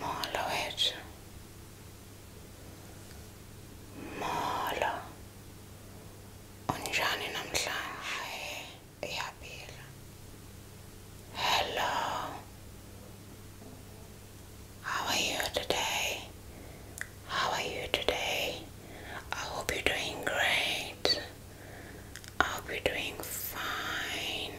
Måla och edge. Måla. ونجاني نملة Hello. How are you today? How are you today? I hope you're doing great. I hope you're doing fine.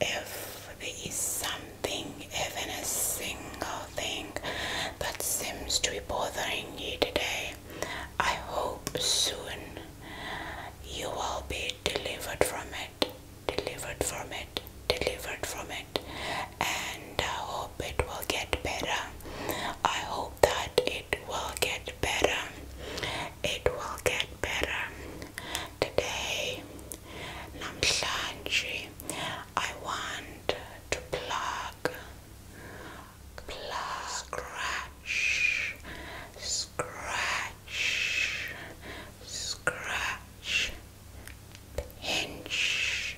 if there is something, even a single thing, that seems to be bothering you today, I hope soon you will be delivered from it, delivered from it, delivered from it, and I hope it will get better. I hope that it will get better. It will get better. Today, namhlanje, I want to plug, plug, scratch, scratch, scratch, pinch,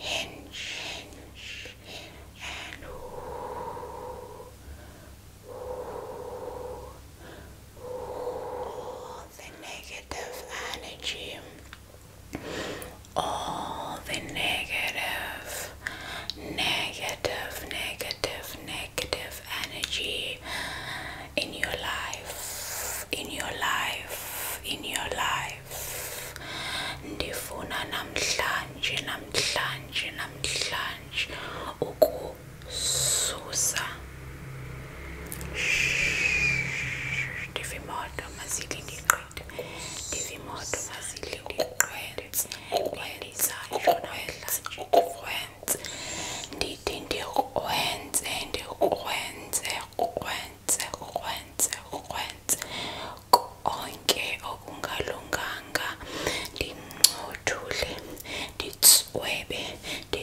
pinch, and ooh, the negative energy, all the negative, negative, negative, negative energy in your life, in your life, in your life. Ndifuna namhlanje namhlanje namhlanje Souza, Divimoto mazililiqede, Divimoto mazililiqede, wenza yona wedla wenze, ndithi ndikwenze ndikwenze kwenze kwenze kwenze konke okungalunganga ndincothule nditswebe ndi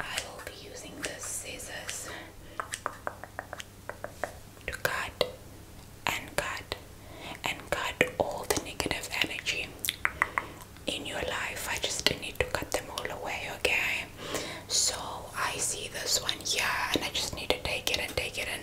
I will be using the scissors to cut and cut and cut all the negative energy in your life. I just need to cut them all away, okay? So I see this one here and I just need to take it and take it and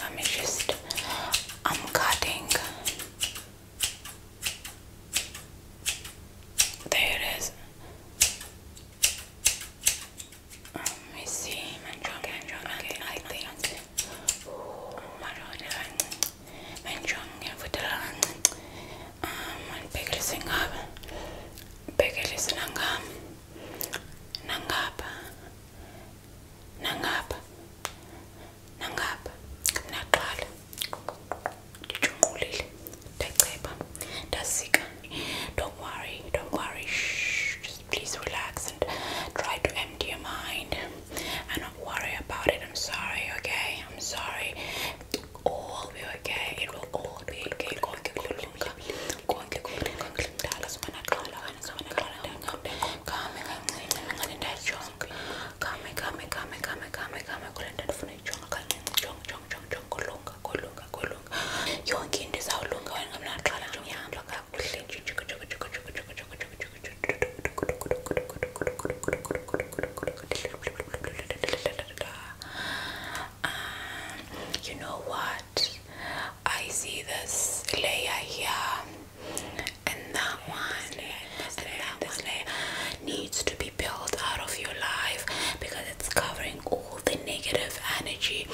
Let me just, I'm cutting. There it is. let me see. Manchong, manchong, okay, I think. Marauder, manchong, fudalan. Um, bagel singab, bagel is nangam, nangab, nangapha nangapha naqala ndijungulile ndaceba ndazika don't worry don't worry Shh, just please relax and try to empty your mind and not worry about it i'm sorry okay i'm sorry all will be okay it will all be okay kama kancinci nginganidachonke kama kama kama kama kama kama kule nto ndifuna ijonga kancinci jonga jonga jonga jonga kulunga kulunga kulunga yonke into izawulunga wena ngamnaqala nje uyahamba kakuhle Um, you know what? I see this layer here and that one and that one layer needs to be peeled out of your life because it's covering all the negative energy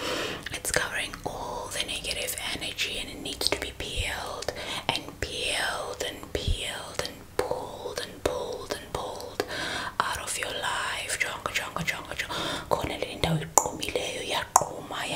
it's covering all the negative energy and it needs to be peeled and peeled and peeled and pulled and pulled and pulled out of your life jonga jonga jonga jonga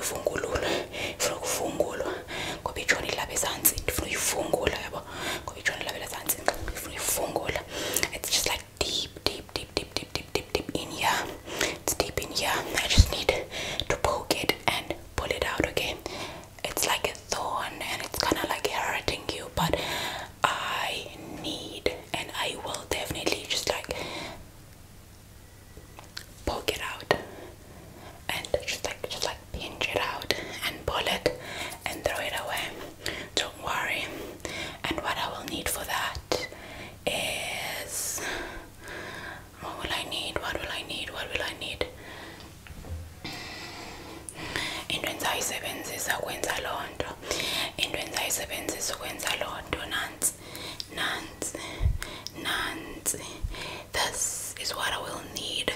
ivungululwe ifuna ukuvungulwa ngoba ijoni ilapha ezantsi ndifuna uyivungula yabo ngoba ijoni ilapha ezantsi ndifuna uyivungula it's just like deep deep deep deep deep deep deep deep in here it's deep in here I just need to poke it and pull it out okay it's like a thorn and it's kind of like hurting you but I need and I will definitely just like poke it out and just like just like pinch it out and pull it and throw it away. Don't worry. And what I will need for that is what will I need? What will I need? What will I need? into engizayisebenzisa ukwenza loo nto into engizayisebenzisa ukwenza loo nto nansi nansi nanzi. This is what I will need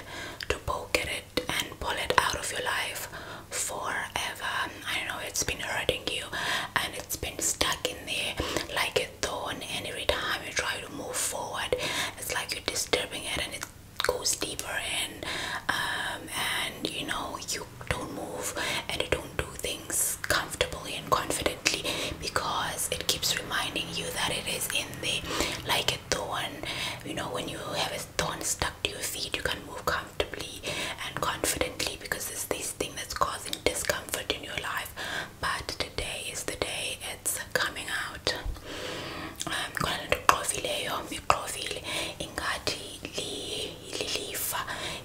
to poke at it and pull it out of your life forever. I know it's been hurting you and it's been stuck in there like a thorn, and every time you try to move forward, it's like you're disturbing it and it goes deeper in. Um, and you know, you don't move and you don't do things comfortably and confidently because it keeps reminding you that it is in there like a thorn you know when you have a thorn stuck to your feet you can move comfortably and confidently because it's this thing that's causing discomfort in your life but today is the day it's coming out um kona into leyo miqovile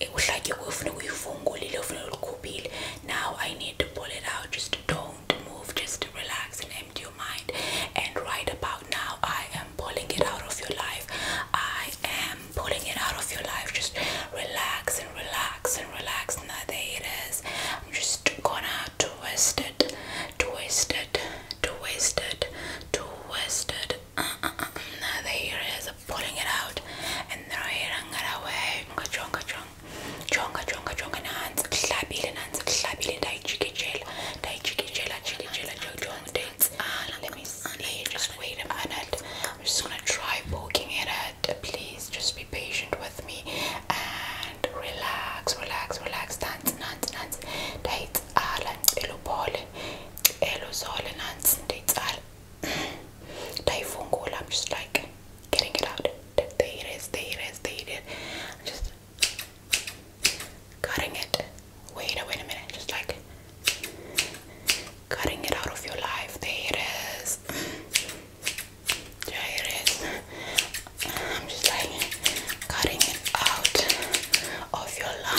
It was like uhlatywe kufuneka uyivungulile ufuneka ulikhuphile now i need to pull it out just don't move just relax and empty your mind and right about now i am pulling it out of your life i am pulling it out of your life just relax and relax and relax now there it is i'm just gonna twist it twist it twist it twist it good. Uh, uh, uh. Now the hair is pulling it out, and the hair got away. Chonga chonga chonga chonga chonga hands. Clap it hands. Clap it. Dai chiki gel. Dai chiki gel. Chiki gel. Chonga dates. Ah, let me see. Just wait a minute. I'm just gonna try poking it at. Please, just be patient with me and relax, relax, relax. Dance, dance, dance. Dates. Ah, dance. Elo ball. Elo zol. Dance. Dates. Ah type phone call. I'm just like getting it out. There it is. There it is. There it is. I'm just cutting it. Wait a wait a minute. Just like cutting it out of your life. There it is. There it is. I'm just like cutting it out of your life.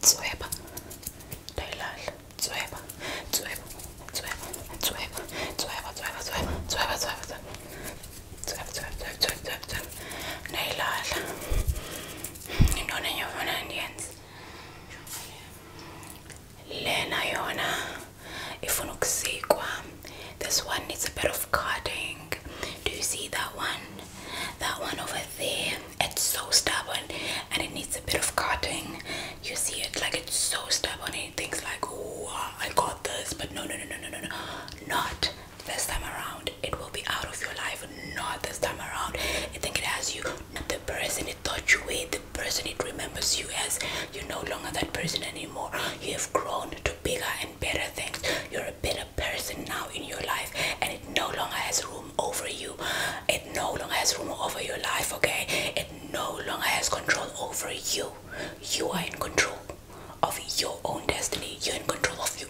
Zueba, Taylal, Zueba, Zueba, Zueba, Zueba, Zueba, Zueba, Zueba, Zueba, Zueba, Zueba, Zueba, Zueba, Zueba, Nailal. Ninguna yo Fernandes. Lena Yona. Ifuna ukusikwa. This one needs a bit of cutting. Do you see that one? That one over there. It's so stubborn and it needs a bit of cutting. You see it like it's so stubborn. It thinks like, oh, I got this, but no, no, no, no, no, no, not this time around. It will be out of your life. Not this time around. I think it has you, the person it thought you were, the person it remembers you as. You're no longer that person anymore. You have grown to bigger and better things. You're a better better person now in your life and it no longer has room over you it no longer has room over your life okay it no longer has control over you you are in control of your own destiny you're in control of you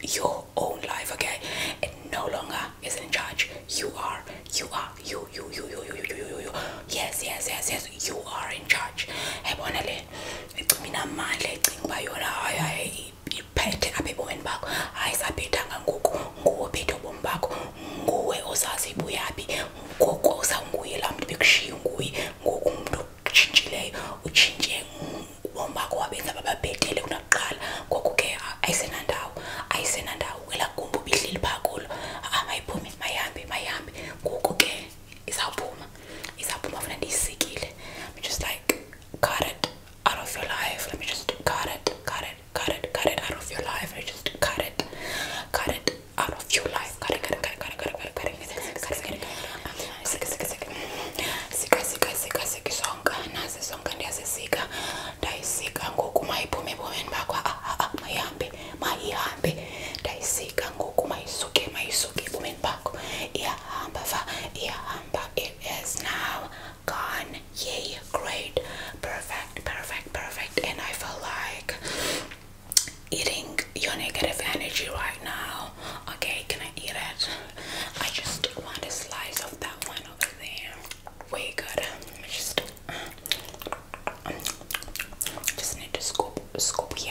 your own life okay it no longer is in charge you are you are you you you you you you you you yes yes yes yes you are in charge iphethe apha ebomini bakho hayi sabhidanga ngoku nguwe ophethe ubomi bakho nguwe ozazi ibuyaphi ngoku uzawunguye laa mntu bekushiye nguye ngoku umntu otshintshileyo utshintshe ubomi bakho wabenza bababhetele kunakuqala ngoku ke ayisenandawo ayisenandawo kwelaa gumbi ubihleli phaa kulo a ah, mayiphume mayihambe mayihambe ngoku ke izawuphuma izawuphuma funa ndiyisikile just like cut it out of your life. Let me just cut it, cut it, cut it, cut it out of your life. Let me just cut it, cut it out of your life. Cut it, cut it, cut it, cut it, cut it, cut it, cut it, cut it, cut it, cut it, Is now gone. Yay, great, perfect, perfect, perfect. And I feel like eating your negative energy right now. Okay, can I eat it? I just want a slice of that one over there. Way good. Just, just need to scoop, scoop here.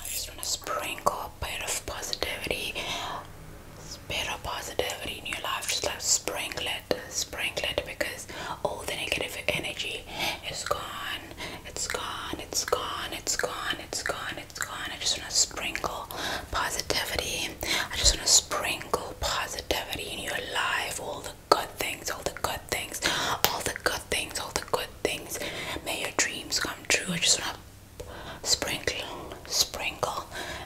I just want to sprinkle a bit of positivity, a bit of positivity in your life. Just like sprinkle it, sprinkle it because all the negative energy is gone. It's gone. It's gone. It's gone. It's gone. It's gone. I just want to sprinkle positivity. I just want to sprinkle positivity in your life. All the good things. All the good things. All the good things. All the good things. May your dreams come true. I just want to sprinkle, sprinkle,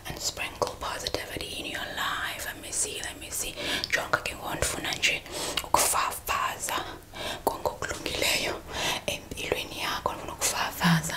and sprinkle positivity in your life. Let me see, let me see. Jonka ngifuna nje ukufafaza konke okulungileyo empilweni yakho. Ngifuna ukufafaza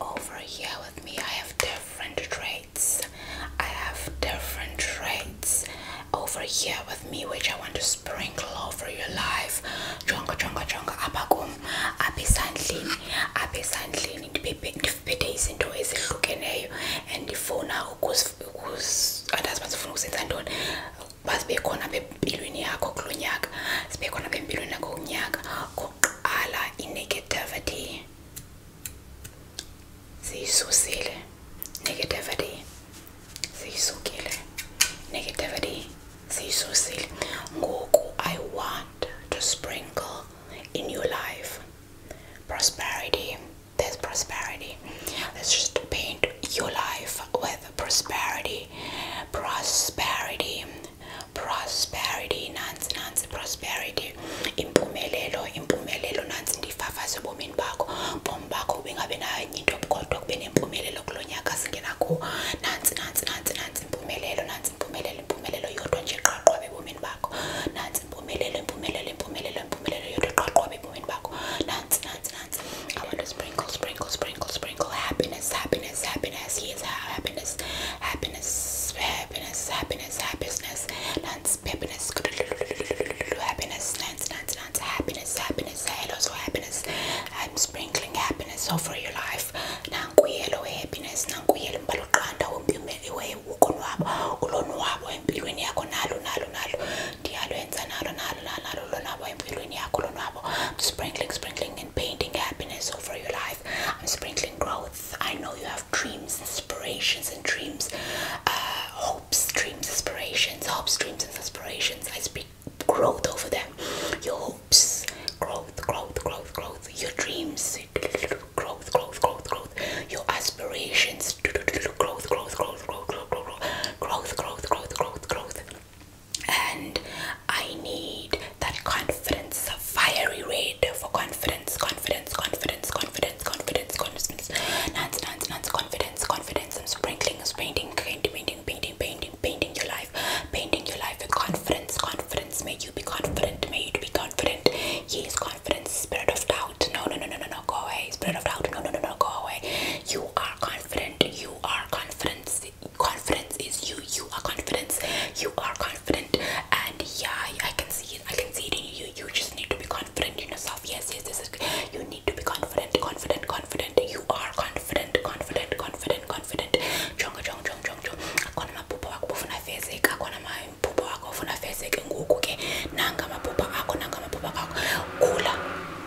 Over here with me, I have different traits. I have different traits over here with me, which I want to sprinkle over your life. Jonga, jonga, jonga, abagum, abisandlini, abisandlini, ndibhedeyisa into ezihlukeneyo endifuna ukuzifuna adazi uba ndifuna ukuzenza ntoni bazibekhona bempilweni yakho kulo nyaka zibekhona bempilweni yakho kunyaka kokuqala inegativity siyisusile negativity siyisukile negativity siyisusile ngoku i want to sprinkle in your life prosperity there's prosperity let's just paint your life live with prosperity, prosperity, prosperity, nansi nansi prosperity, impumelelo, impumelelo nansi ndifafaze ebomini bakho, bomi bakho ubingabi nayo into kodwa kube nempumelelo kulo nyaka singenakho, nansi nansi nansi nansi impumelelo, nansi impumelelo, impumelelo yodwa nje qaqwaba ebomini bakho, nansi impumelelo, impumelelo, impumelelo, impumelelo yodwa qaqwaba ebomini bakho, nansi nuts, nuts, nuts. I want to sprinkle, sprinkle, sprinkle, sprinkle happiness, happiness, happiness. He is happiness, happiness, happiness, happiness, happiness, nuts, happiness, happiness, nuts, nuts, nuts, happiness, happiness, hello, so happiness. I'm sprinkling happiness over your life. Nanguelo happiness, nanguelo mbalokanda umbimeliwe ukonwabo ulonwabo empilweni yakho nalo nalo nalo ndiyalwenza nalo nalo I'm sprinkling, sprinkling, and painting happiness over your life. I'm sprinkling growth. I know you have dreams, inspirations, and dreams, uh, hopes, dreams, aspirations, hopes, dreams, and aspirations. I speak growth over them. Your hopes, growth, growth, growth, growth. Your dreams, growth, growth, growth, growth. Your aspirations, growth, growth, growth, growth, growth, growth growth, growth, growth, growth, growth. And I need that confidence, fiery red for confidence, confidence, confidence, confidence, confidence, confidence, nance, nance, nance, confidence, confidence. i sprinkling, painting, painting, painting, painting, painting your life, painting your life with confidence, confidence. May you be confident, may you be confident. Yes, confidence, spirit of doubt. No, no, no, no, no, no, go away. Spirit of doubt, no, no, no, no, go away you are confident you are confidence confidence is you you are confidence you are confident and yeah i can see it i can see it in you you just need to be confident in yourself yes yes this is you need to be confident confident confident you are confident confident confident confident jonga jonga jonga jonga akona maphupha wakho bufunafezeka akona maphupha wakho bufunafezeka ngoku ke nanga maphupha akho nanga maphupha akho khula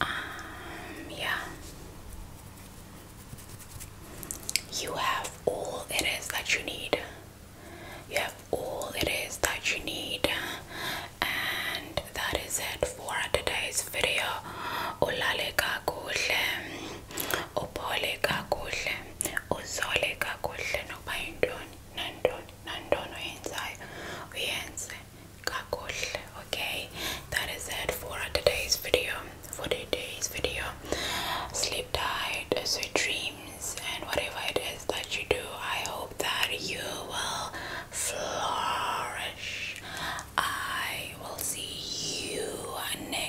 Um, yeah. You have all it is that you need. You have all it is that you need. And that is it for today's video. Ulaleka kuhle okay that is it for today's video for today's video sleep tight sweet dreams and whatever it is that you do i hope that you will flourish i will see you next